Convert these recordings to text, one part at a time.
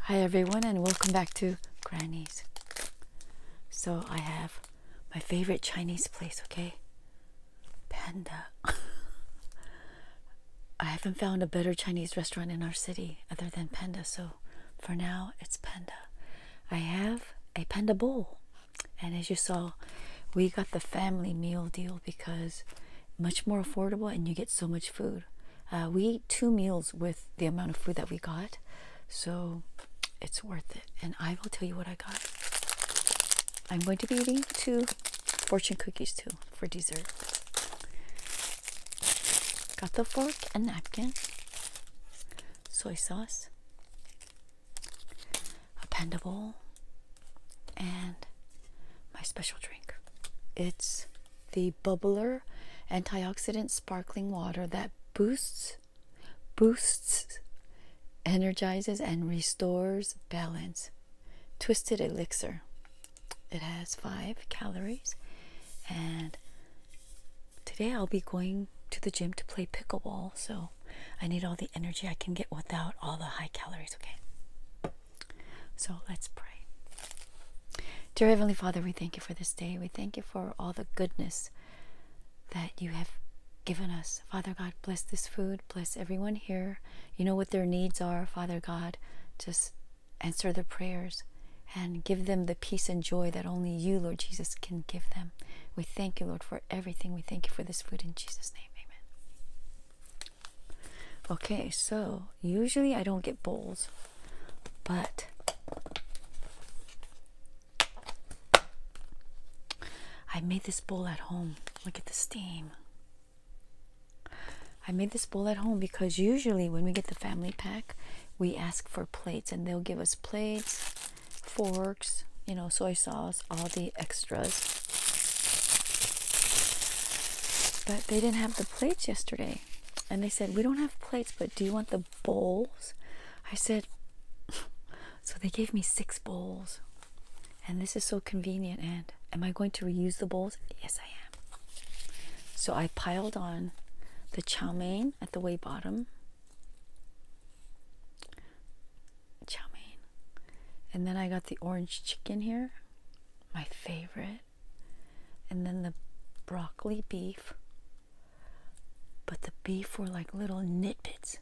Hi everyone and welcome back to Grannies. So I have my favorite Chinese place, okay? Panda. I haven't found a better Chinese restaurant in our city other than Panda, so for now it's Panda. I have a Panda bowl. And as you saw, we got the family meal deal because much more affordable and you get so much food. Uh, we ate two meals with the amount of food that we got. So it's worth it. And I will tell you what I got. I'm going to be eating two fortune cookies too for dessert. Got the fork and napkin, soy sauce, a panda bowl, and my special drink. It's the bubbler antioxidant sparkling water that boosts boosts, energizes, and restores balance. Twisted elixir. It has five calories, and today I'll be going to the gym to play pickleball, so I need all the energy I can get without all the high calories, okay? So let's pray. Dear Heavenly Father, we thank you for this day. We thank you for all the goodness that you have given us. Father God, bless this food, bless everyone here. You know what their needs are, Father God. Just answer their prayers and give them the peace and joy that only you, Lord Jesus, can give them. We thank you, Lord, for everything. We thank you for this food in Jesus' name. Amen. Okay, so usually I don't get bowls, but I made this bowl at home. Look at the steam. I made this bowl at home because usually when we get the family pack, we ask for plates and they'll give us plates, forks, you know, soy sauce, all the extras. But they didn't have the plates yesterday. And they said, We don't have plates, but do you want the bowls. I said, So they gave me six bowls. And this is so convenient. And am I going to reuse the bowls? Yes, I am. So I piled on the chow mein at the way bottom. Chow mein. And then I got the orange chicken here, my favorite. And then the broccoli beef. But the beef were like little nitbits.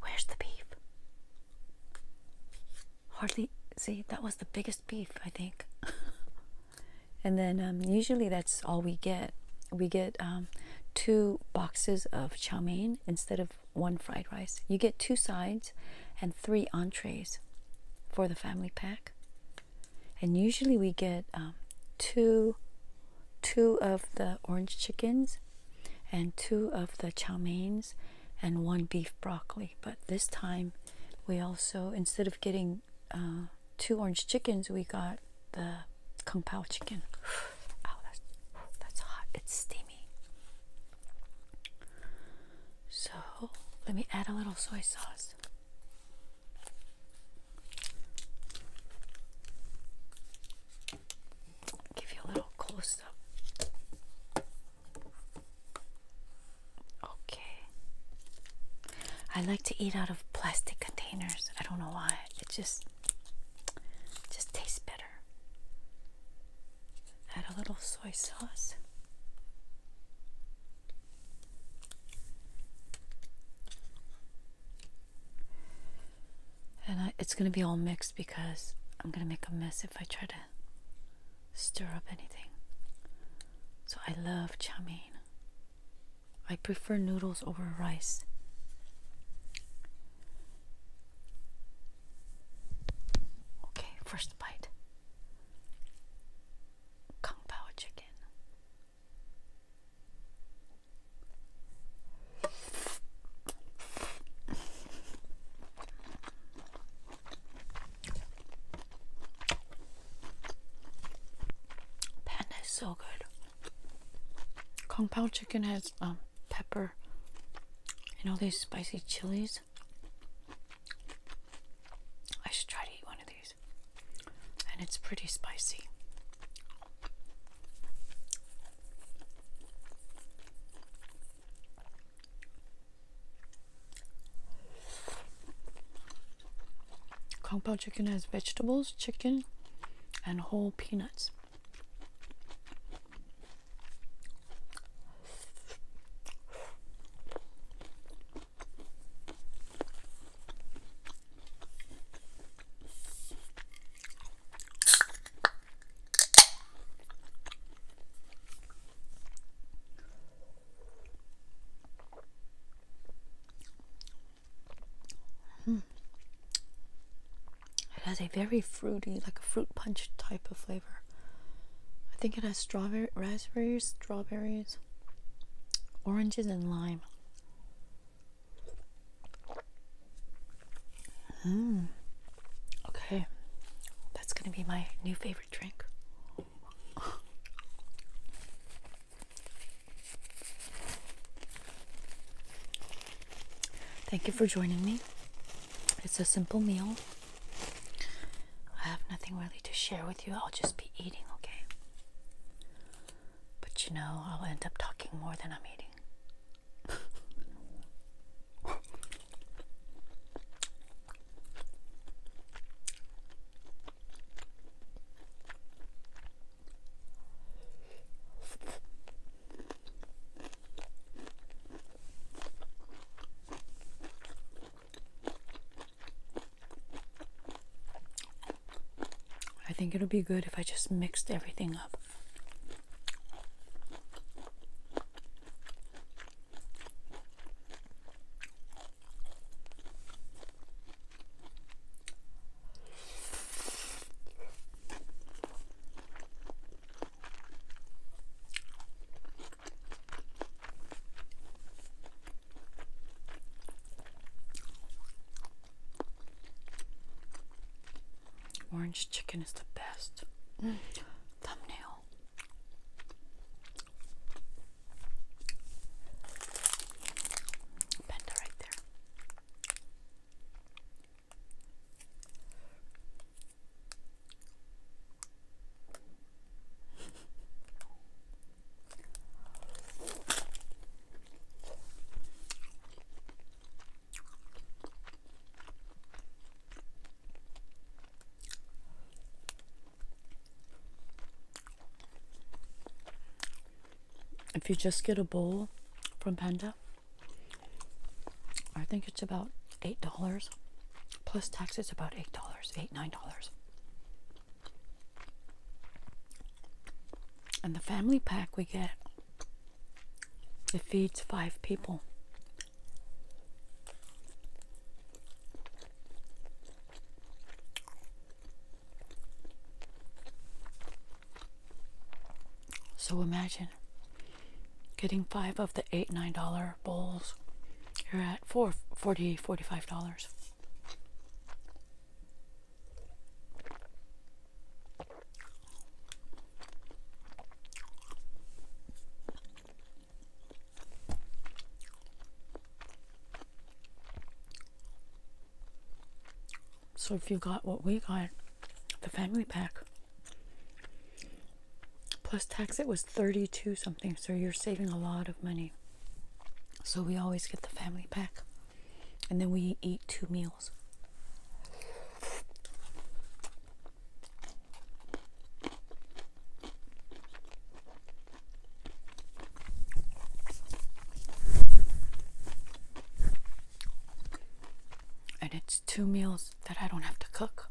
Where's the beef? Hardly, see, that was the biggest beef, I think. and then um, usually that's all we get. We get um, two boxes of chow mein instead of one fried rice. You get two sides and three entrees for the family pack and usually we get um, two two of the orange chickens and two of the chow and one beef broccoli but this time we also instead of getting uh, two orange chickens we got the kung pao chicken oh that's, that's hot it's steamy so let me add a little soy sauce Give you a little close up. Okay. I like to eat out of plastic containers. I don't know why. It just just tastes better. Add a little soy sauce. And it's going to be all mixed because I'm going to make a mess if I try to stir up anything. So I love chow mein. I prefer noodles over rice. Okay, first bite. Kung Pao chicken. Panda is so good. Kung chicken has um, pepper and all these spicy chilies. I should try to eat one of these. And it's pretty spicy. Kung chicken has vegetables, chicken, and whole peanuts. It has a very fruity, like a fruit punch type of flavor. I think it has strawberry, raspberries, strawberries, oranges. and lime. Mm. Okay, that's gonna be my new favorite drink. Thank you for joining me. It's a simple meal. I have nothing really to share with you. I'll just be eating, okay? But you know, I'll end up talking more than I'm eating. I think it'll be good if I just mixed everything up. Orange chicken is the best. Mm. Thumbnail. Panda right there. If you just get a bowl from Panda, I think it's about $8 plus tax, it's about $8, $8, $9. And the family pack we get, it feeds five people. So imagine getting five of the eight, nine dollar bowls. You're at four, forty, forty-five dollars. So if you got what we got, the family pack, plus tax, it was 32 something. So you're saving a lot of money. So we always get the family pack. And then we eat two meals. And it's two meals that I don't have to cook.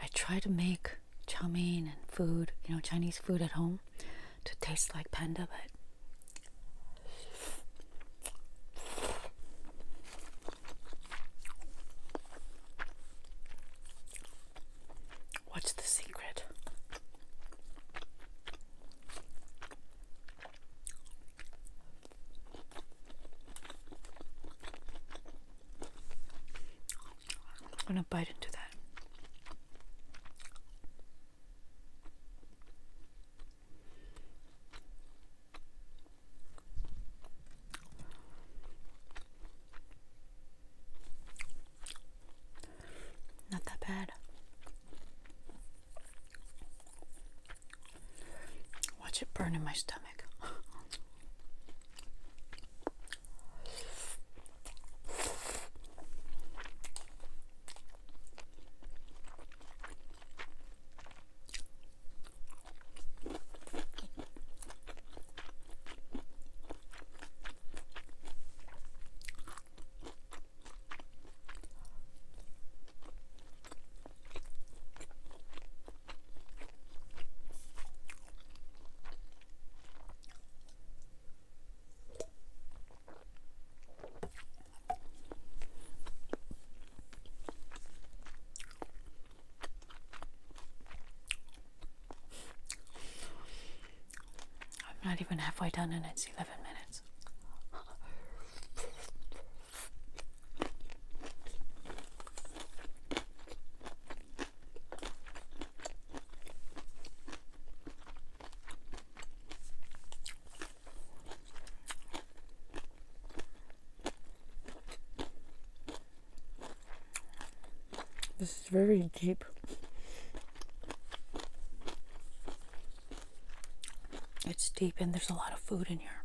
I try to make chow mein and food, you know, Chinese food at home to taste like panda, but What's the secret? I'm gonna bite into that. Not that bad. Watch it burn in my stomach. I'm not even halfway done and it's 11 minutes. This is very deep. It's deep and there's a lot of food in here.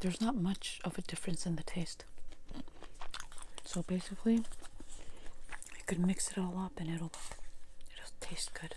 There's not much of a difference in the taste. So basically, you could mix it all up and it'll it'll taste good.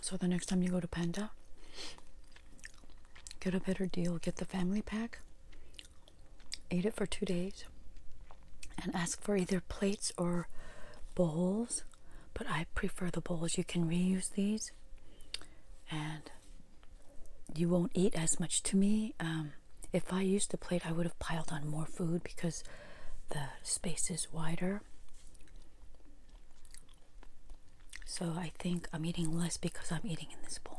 So the next time you go to Panda, get a better deal. Get the family pack, eat it for two days, and ask for either plates or bowls. But I prefer the bowls. You can reuse these. And you won't eat as much. To me, um, if I used the plate, I would have piled on more food because the space is wider. So I think I'm eating less because I'm eating in this bowl.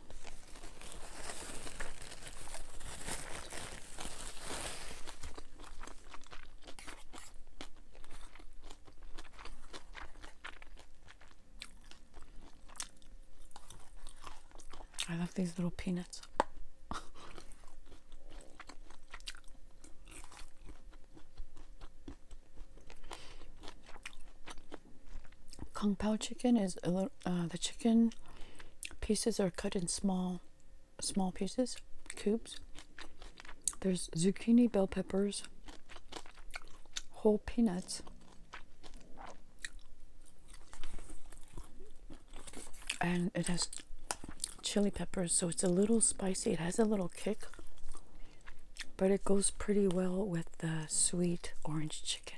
I love these little peanuts. Kung Pao chicken is a little uh, the chicken pieces are cut in small small pieces, cubes. There's zucchini, bell peppers, whole peanuts, and it has chili peppers, so it's a little spicy. It has a little kick, but it goes pretty well with the sweet orange chicken.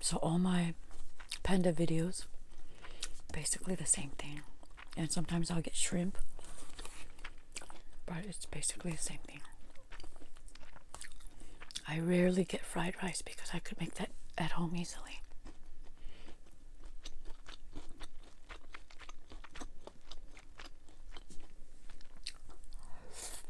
So all my panda videos, basically the same thing. And sometimes I'll get shrimp, but it's basically the same thing. I rarely get fried rice because I could make that at home easily.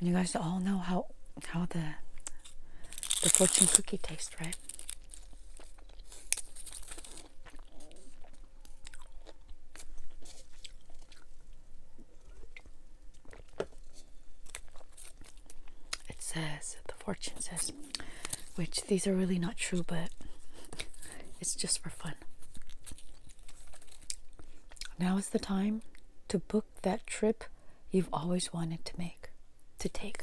you guys all know how how the the fortune cookie tastes, right? It says, the fortune says, which these are really not true, but it's just for fun. Now is the time to book that trip you've always wanted to make to take.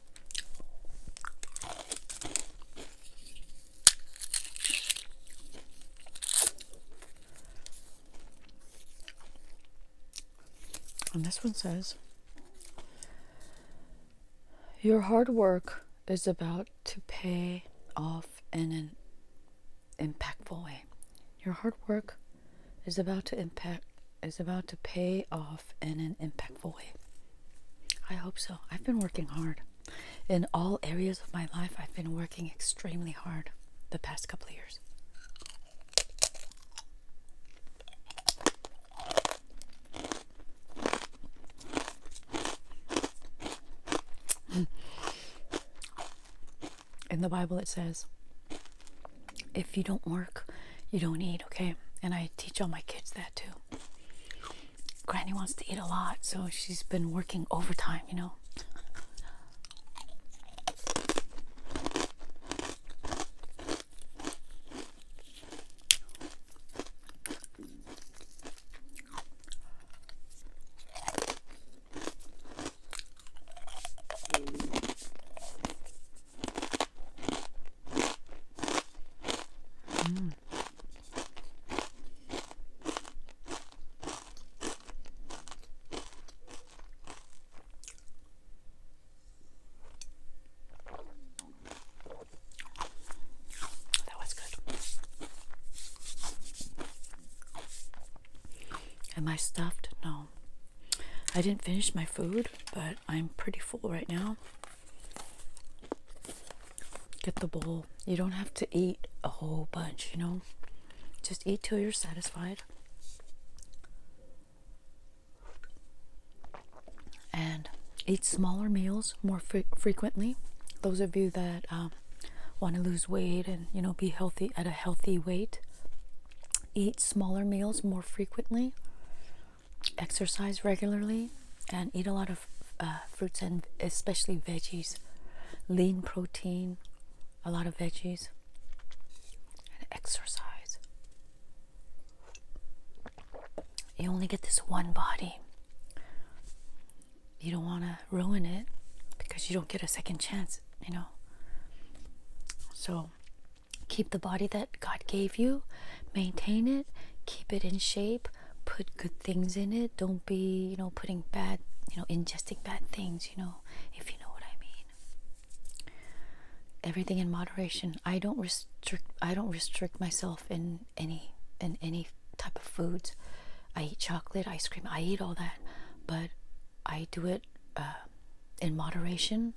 And this one says, Your hard work is about to pay off in an impactful way. Your hard work is about to impact is about to pay off in an impactful way. I hope so. I've been working hard. In all areas of my life, I've been working extremely hard the past couple years. Hmm. In the Bible, it says, if you don't work, you don't eat, okay? And I teach all my kids that. Granny wants to eat a lot, so she's been working overtime, you know. Mm. That was good. Am I stuffed? No. I didn't finish my food, but I'm pretty full right now. Get the bowl. You don't have to eat a whole bunch, you know? Just eat till you're satisfied. And eat smaller meals more frequently. Those of you that um, want to lose weight and, you know, be healthy at a healthy weight, eat smaller meals more frequently exercise regularly and eat a lot of uh, fruits and especially veggies, lean protein, a lot of veggies, and exercise. You only get this one body. You don't want to ruin it because you don't get a second chance, you know. So Keep the body that God gave you, maintain it, keep it in shape, put good things in it. Don't be, you know, putting bad, you know, ingesting bad things, you know, if you know what I mean. Everything in moderation. I don't restrict I don't restrict myself in any in any type of foods. I eat chocolate, ice cream, I eat all that, but I do it uh, in moderation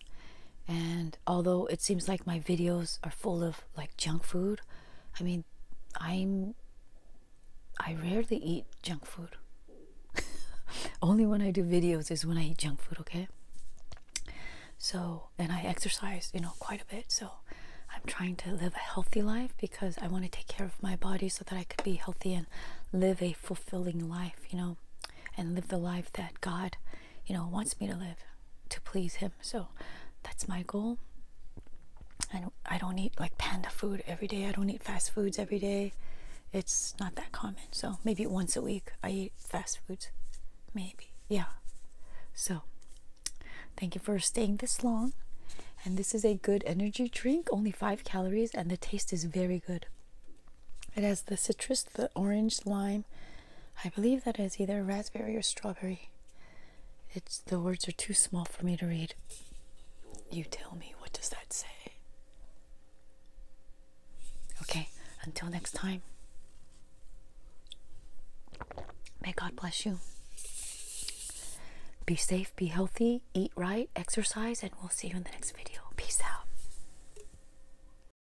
and although it seems like my videos are full of like junk food, I mean, I'm I rarely eat junk food. Only when I do videos is when I eat junk food, okay? So, and I exercise, you know, quite a bit. So, I'm trying to live a healthy life because I want to take care of my body so that I could be healthy and live a fulfilling life, you know, and live the life that God, you know, wants me to live to please him. So that's my goal. I don't, I don't eat like panda food every day. I don't eat fast foods every day. It's not that common. So maybe once a week I eat fast foods. Maybe. Yeah. So thank you for staying this long. And this is a good energy drink, only 5 calories and the taste is very good. It has the citrus, the orange, lime. I believe that is either raspberry or strawberry. It's the words are too small for me to read. You tell me what does that say? Okay, until next time. May God bless you. Be safe, be healthy, eat right, exercise, and we'll see you in the next video. Peace out.